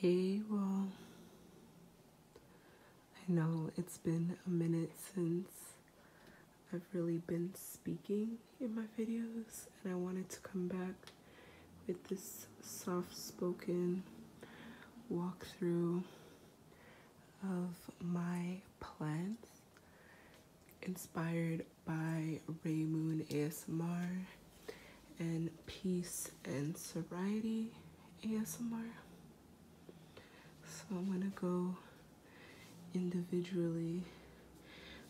Hey, well, I know it's been a minute since I've really been speaking in my videos, and I wanted to come back with this soft spoken walkthrough of my plants inspired by Raymoon ASMR and Peace and Sobriety ASMR. So I'm gonna go individually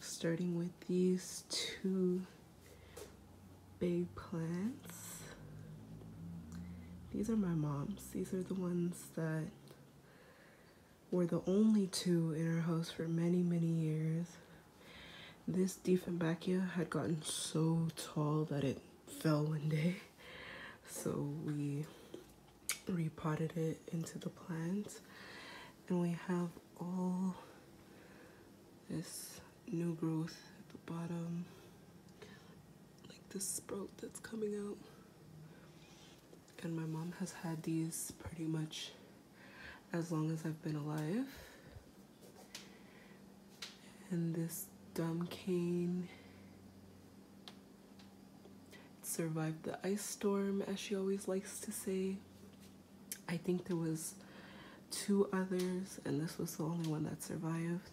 starting with these two big plants. These are my mom's. These are the ones that were the only two in our house for many, many years. This Diefenbachia had gotten so tall that it fell one day. So we repotted it into the plant. And we have all this new growth at the bottom like this sprout that's coming out. And my mom has had these pretty much as long as I've been alive. And this dumb cane survived the ice storm, as she always likes to say. I think there was two others, and this was the only one that survived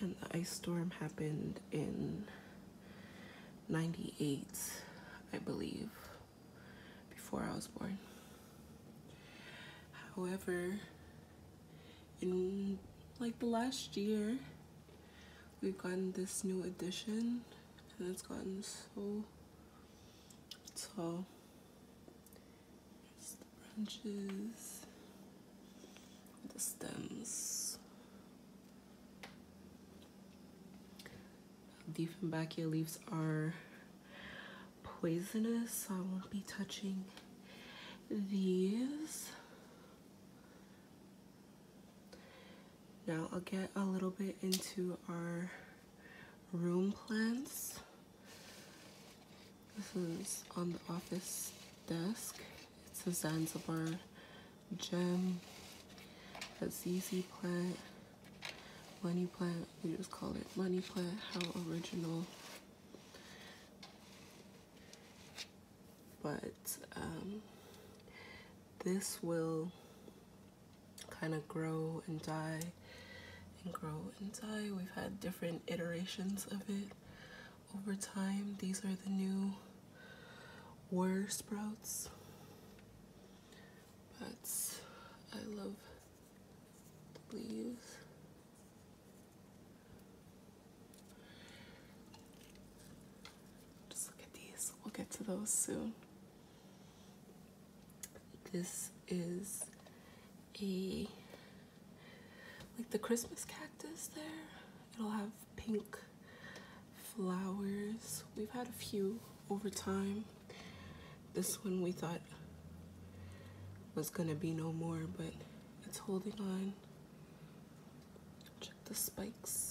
and the ice storm happened in 98, I believe, before I was born. However, in like the last year, we've gotten this new addition and it's gotten so tall branches, the stems. Diefenbachia leaves are poisonous, so I won't be touching these. Now I'll get a little bit into our room plants. This is on the office desk. It's a Zanzibar gem, a ZZ plant, money plant. We just call it money plant. How original. But um, this will kind of grow and die and grow and die. We've had different iterations of it over time. These are the new were sprouts. But I love leaves. Just look at these. We'll get to those soon. This is a like the Christmas cactus there. It'll have pink flowers. We've had a few over time. This one we thought was gonna be no more, but it's holding on. Check the spikes.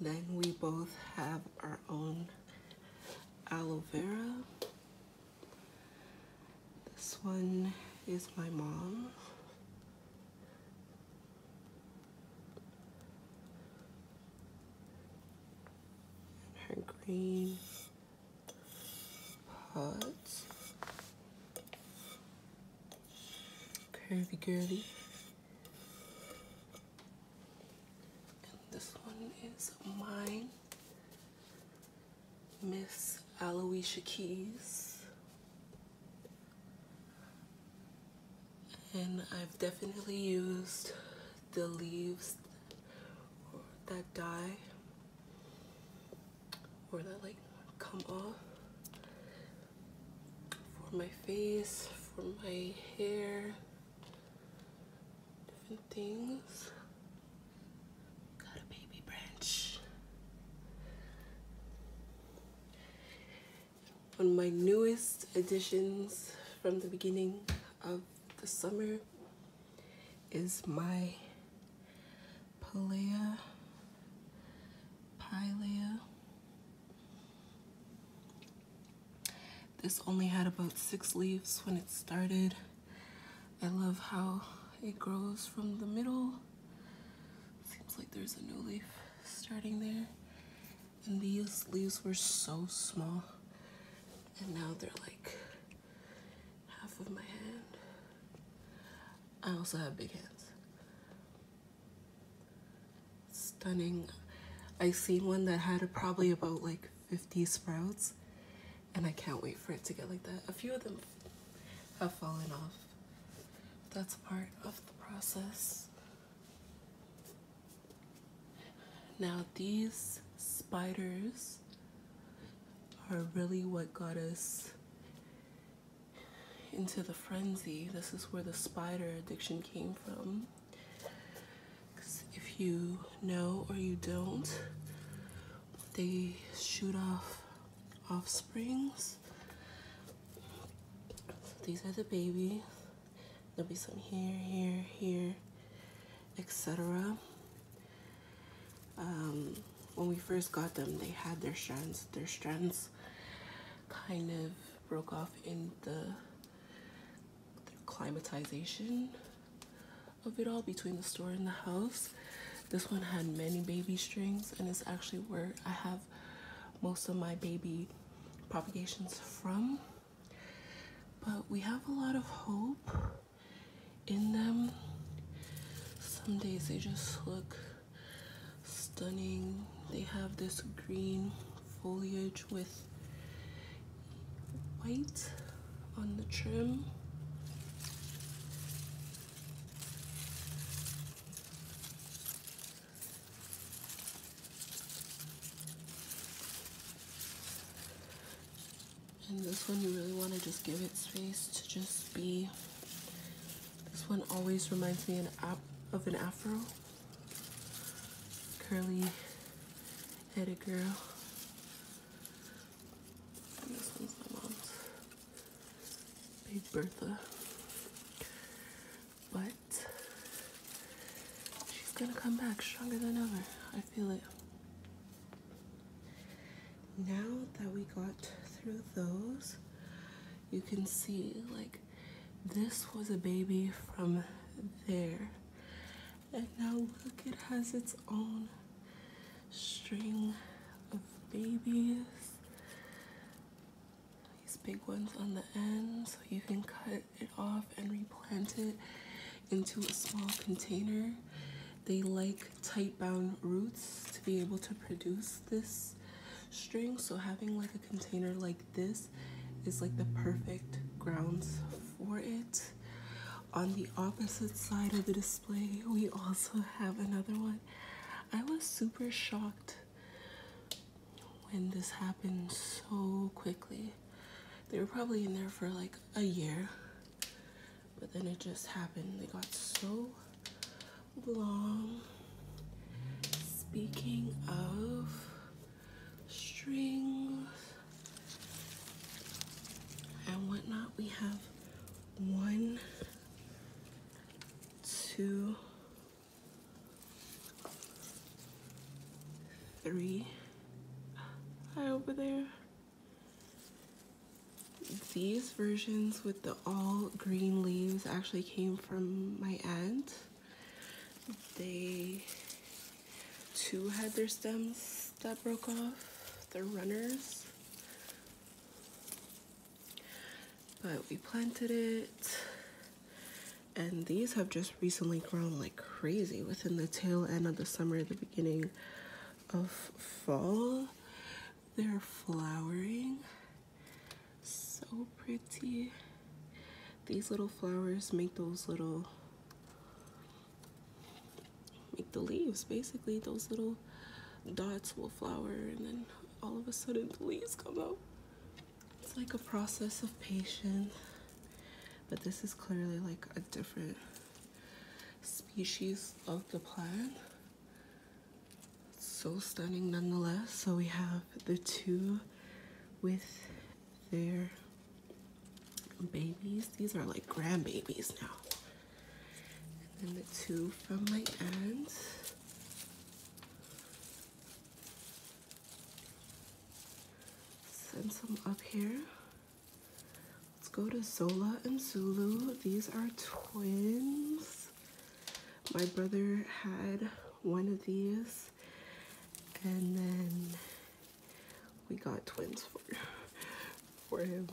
Then we both have our own aloe vera. This one is my mom. her green pots. Curvy girly this one is mine, Miss Aloysia Keys. And I've definitely used the leaves or that die or that like come off for my face, for my hair, different things. Got a baby branch. One of my newest additions from the beginning of the summer is my Palea, Pilea this only had about six leaves when it started. I love how it grows from the middle. Seems like there's a new leaf starting there. And these leaves were so small. And now they're like half of my hand. I also have big hands stunning. I seen one that had probably about like 50 sprouts and I can't wait for it to get like that. A few of them have fallen off. That's part of the process. Now these spiders are really what got us into the frenzy. This is where the spider addiction came from if you know or you don't, they shoot off offsprings. these are the babies. There'll be some here, here, here, etc. Um, when we first got them, they had their strands. Their strands kind of broke off in the the climatization of it all between the store and the house. This one had many baby strings and it's actually where I have most of my baby propagations from. But we have a lot of hope in them. Some days they just look stunning. They have this green foliage with white on the trim. And this one you really want to just give it space to just be, this one always reminds me of an afro curly headed girl. And this one's my mom's Big Bertha. But she's gonna come back stronger than ever. I feel it. Now that we got through those, you can see like this was a baby from there. And now look, it has its own string of babies. These big ones on the end, so you can cut it off and replant it into a small container. They like tight bound roots to be able to produce this string, so having like a container like this is like the perfect grounds for it. On the opposite side of the display, we also have another one. I was super shocked when this happened so quickly. They were probably in there for like a year, but then it just happened. They got so long. Speaking of strings and whatnot. We have one, two, three Hi over there. These versions with the all green leaves actually came from my aunt. They too had their stems that broke off, their runners. But we planted it, and these have just recently grown like crazy within the tail end of the summer, the beginning of fall. They're flowering. So pretty these little flowers make those little make the leaves basically those little dots will flower and then all of a sudden the leaves come out it's like a process of patience but this is clearly like a different species of the plant so stunning nonetheless so we have the two with they're babies. These are like grandbabies now. And then the two from my aunt. Send some up here. Let's go to Zola and Zulu. These are twins. My brother had one of these and then we got twins for, for him.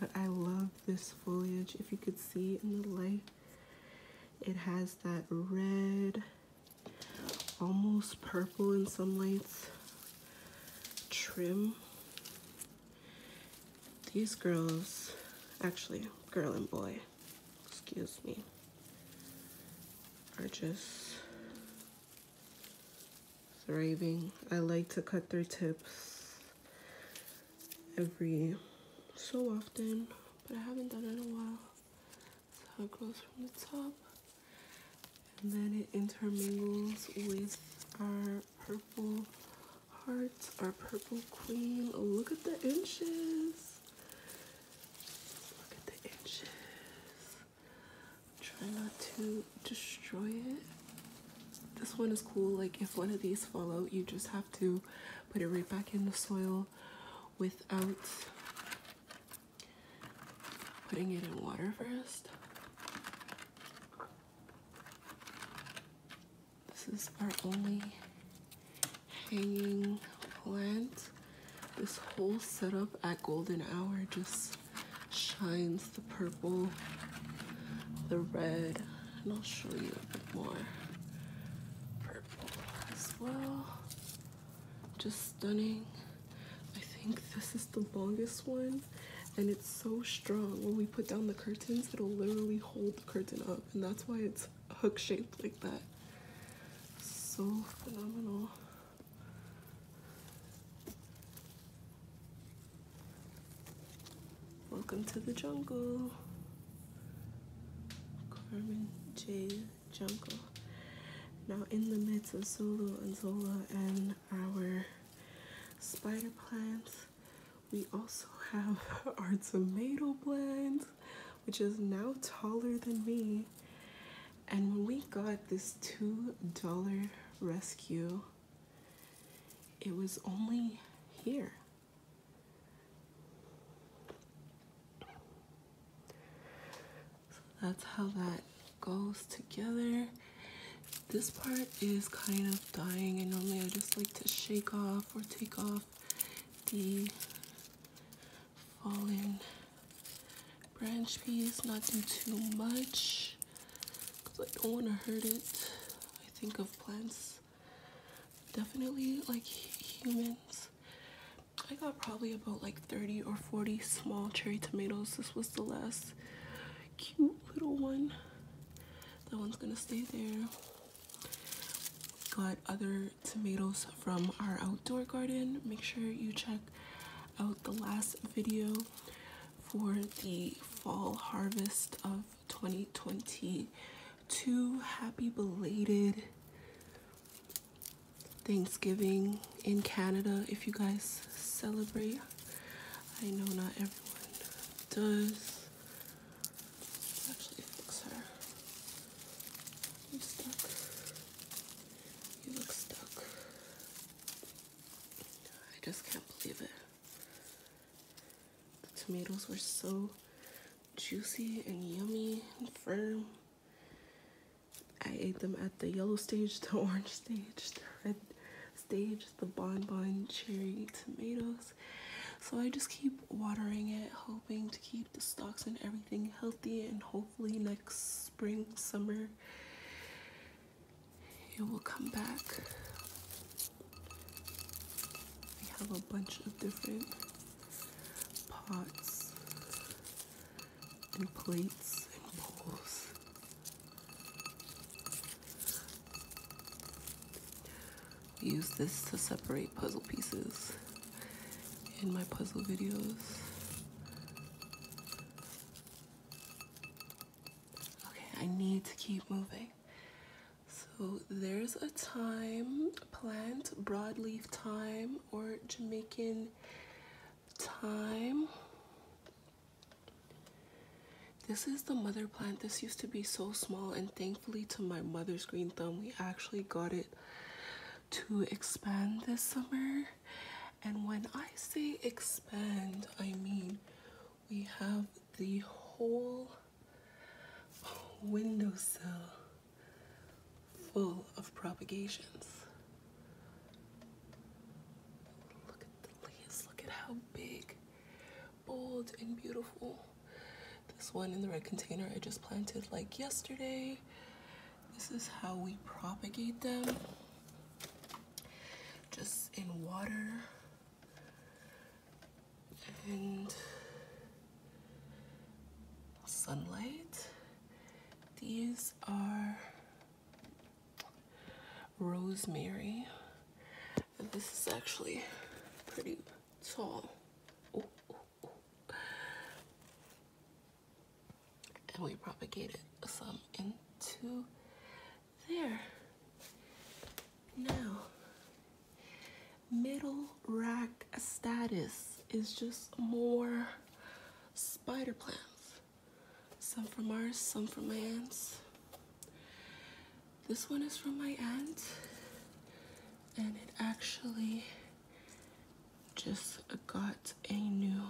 But I love this foliage. If you could see in the light, it has that red, almost purple in some lights, trim. These girls, actually, girl and boy, excuse me, are just thriving. I like to cut their tips every so often, but I haven't done it in a while. So it goes from the top, and then it intermingles with our purple hearts, our purple queen. look at the inches. Look at the inches. Try not to destroy it. This one is cool. Like if one of these fall out, you just have to put it right back in the soil without putting it in water first. This is our only hanging plant. This whole setup at golden hour just shines the purple, the red, and I'll show you a bit more purple as well. Just stunning. I think this is the longest one and it's so strong. When we put down the curtains, it'll literally hold the curtain up and that's why it's hook shaped like that. So phenomenal. Welcome to the jungle. Carmen J. Jungle. Now in the midst of Sulu and Zola and our spider plants, we also have our tomato blends which is now taller than me. And when we got this $2 rescue, it was only here. So that's how that goes together. This part is kind of dying and normally I just like to shake off or take off the fallen branch piece, not do too much because I don't want to hurt it. I think of plants, definitely like humans. I got probably about like 30 or 40 small cherry tomatoes. This was the last cute little one. That one's gonna stay there other tomatoes from our outdoor garden. Make sure you check out the last video for the fall harvest of 2022. Happy belated Thanksgiving in Canada if you guys celebrate. I know not everyone does. I'm stuck. You look stuck. I just can't believe it. The tomatoes were so juicy and yummy and firm. I ate them at the yellow stage, the orange stage, the red stage, the bonbon cherry tomatoes. So I just keep watering it, hoping to keep the stocks and everything healthy and hopefully next spring summer it will come back we have a bunch of different pots and plates and bowls use this to separate puzzle pieces in my puzzle videos. Okay, I need to keep moving. So there's a thyme plant, broadleaf thyme or Jamaican thyme. This is the mother plant. This used to be so small and thankfully to my mother's green thumb, we actually got it to expand this summer. And when I say expand, I mean we have the whole windowsill full of propagations. Look at the leaves, look at how big, bold, and beautiful. This one in the red container I just planted like yesterday. This is how we propagate them just in water and sunlight. These are rosemary. This is actually pretty tall. Oh, oh and we propagated some into there. Now, middle rack status is just more spider plants. Some from ours, some from my aunt's. This one is from my aunt, and it actually just got a new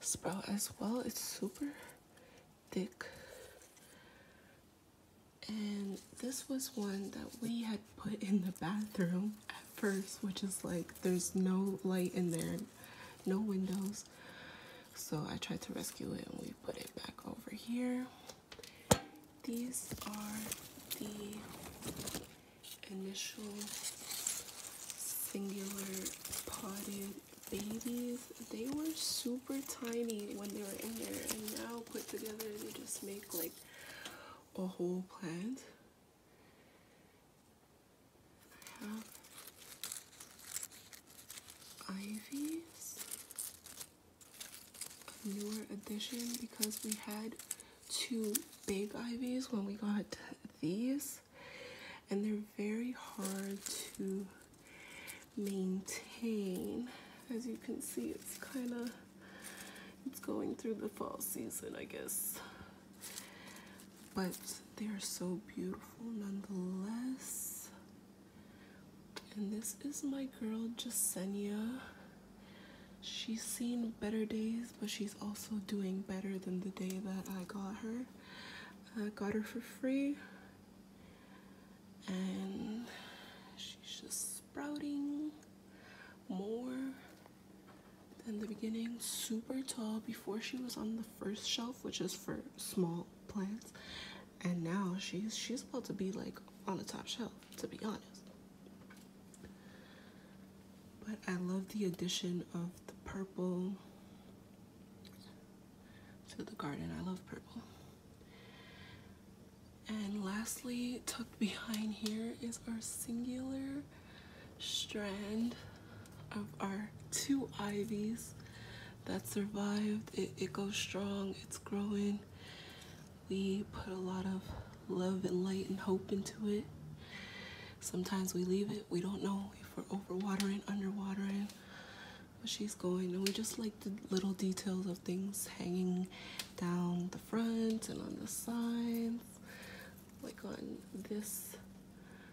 sprout as well. It's super thick. And this was one that we had put in the bathroom at first, which is like there's no light in there, no windows. So I tried to rescue it and we put it back over here. These are the initial singular potted babies they were super tiny when they were in there and now put together they just make like a whole plant I have ivies a newer addition because we had two big ivies when we got these, and they're very hard to maintain. As you can see, it's kind of it's going through the fall season, I guess. But they are so beautiful nonetheless. And this is my girl Jasenia she's seen better days, but she's also doing better than the day that I got her. I uh, got her for free, and she's just sprouting more than the beginning. Super tall before she was on the first shelf, which is for small plants, and now she's she's about to be like on the top shelf. To be honest, but I love the addition of the purple to the garden. I love purple. And lastly, tucked behind here is our singular strand of our two ivies that survived. It, goes strong, it's growing we put a lot of love and light and hope into it. Sometimes we leave it, we don't know if we're overwatering, underwatering, but she's going. And we just like the little details of things hanging down the front and on the sides, like on this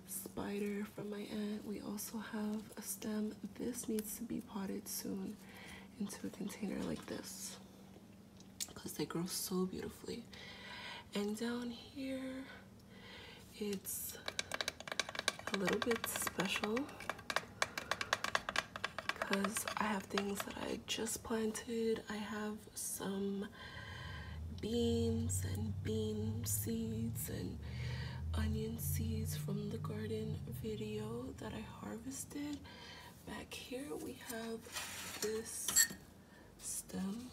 spider from my aunt. We also have a stem. This needs to be potted soon into a container like this because they grow so beautifully. And down here, it's a little bit special because I have things that I just planted. I have some beans and bean seeds and onion seeds from the garden video that I harvested Back here we have this stem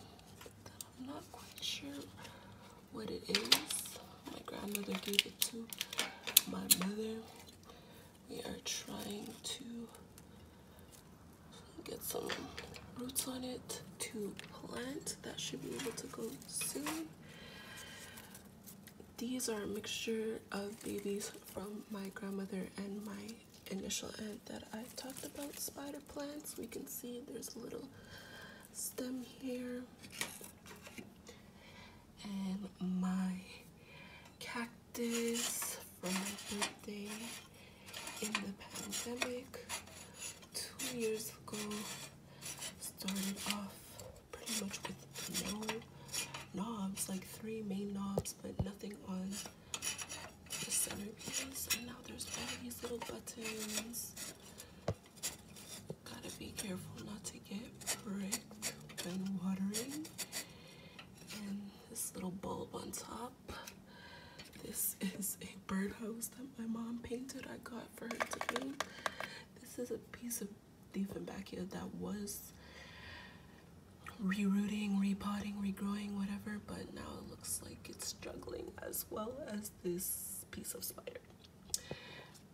that I'm not quite sure what it is. My grandmother gave it to my mother. We are trying to get some roots on it to plant. That should be able to go soon. These are a mixture of babies from my grandmother and my initial end that I talked about spider plants. We can see there's a little stem here. And my cactus from my birthday in the pandemic two years ago started off pretty much with no knobs, like three main knobs, but nothing on the centerpiece. And now there's all these little buttons. Gotta be careful not to get pricked when watering. And this little bulb on top. This is a birdhouse that my mom painted. I got for her to paint. This is a piece of back here that was rerooting, repotting, regrowing, whatever, but now it looks like it's struggling as well as this piece of spider.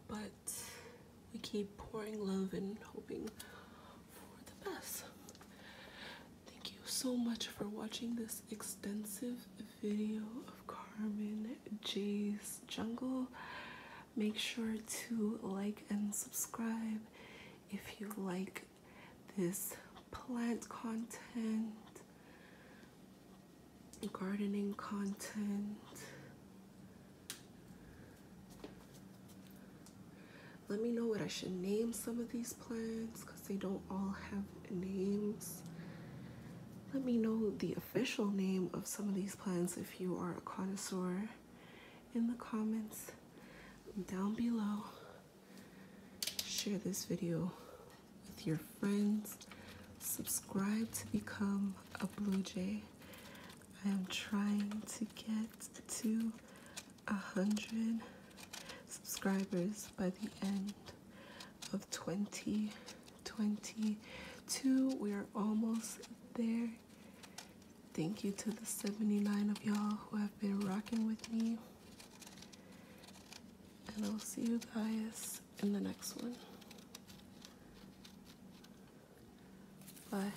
But we keep pouring love and hoping for the best. Thank you so much for watching this extensive video of Carmen J's Jungle. Make sure to like and subscribe if you like this plant content, gardening content. Let me know what I should name some of these plants because they don't all have names. Let me know the official name of some of these plants if you are a connoisseur in the comments down below. Share this video with your friends. Subscribe to become a Blue Jay. I am trying to get to a hundred subscribers by the end of 2022. We are almost there. Thank you to the 79 of y'all who have been rocking with me. And I will see you guys in the next one. Bye.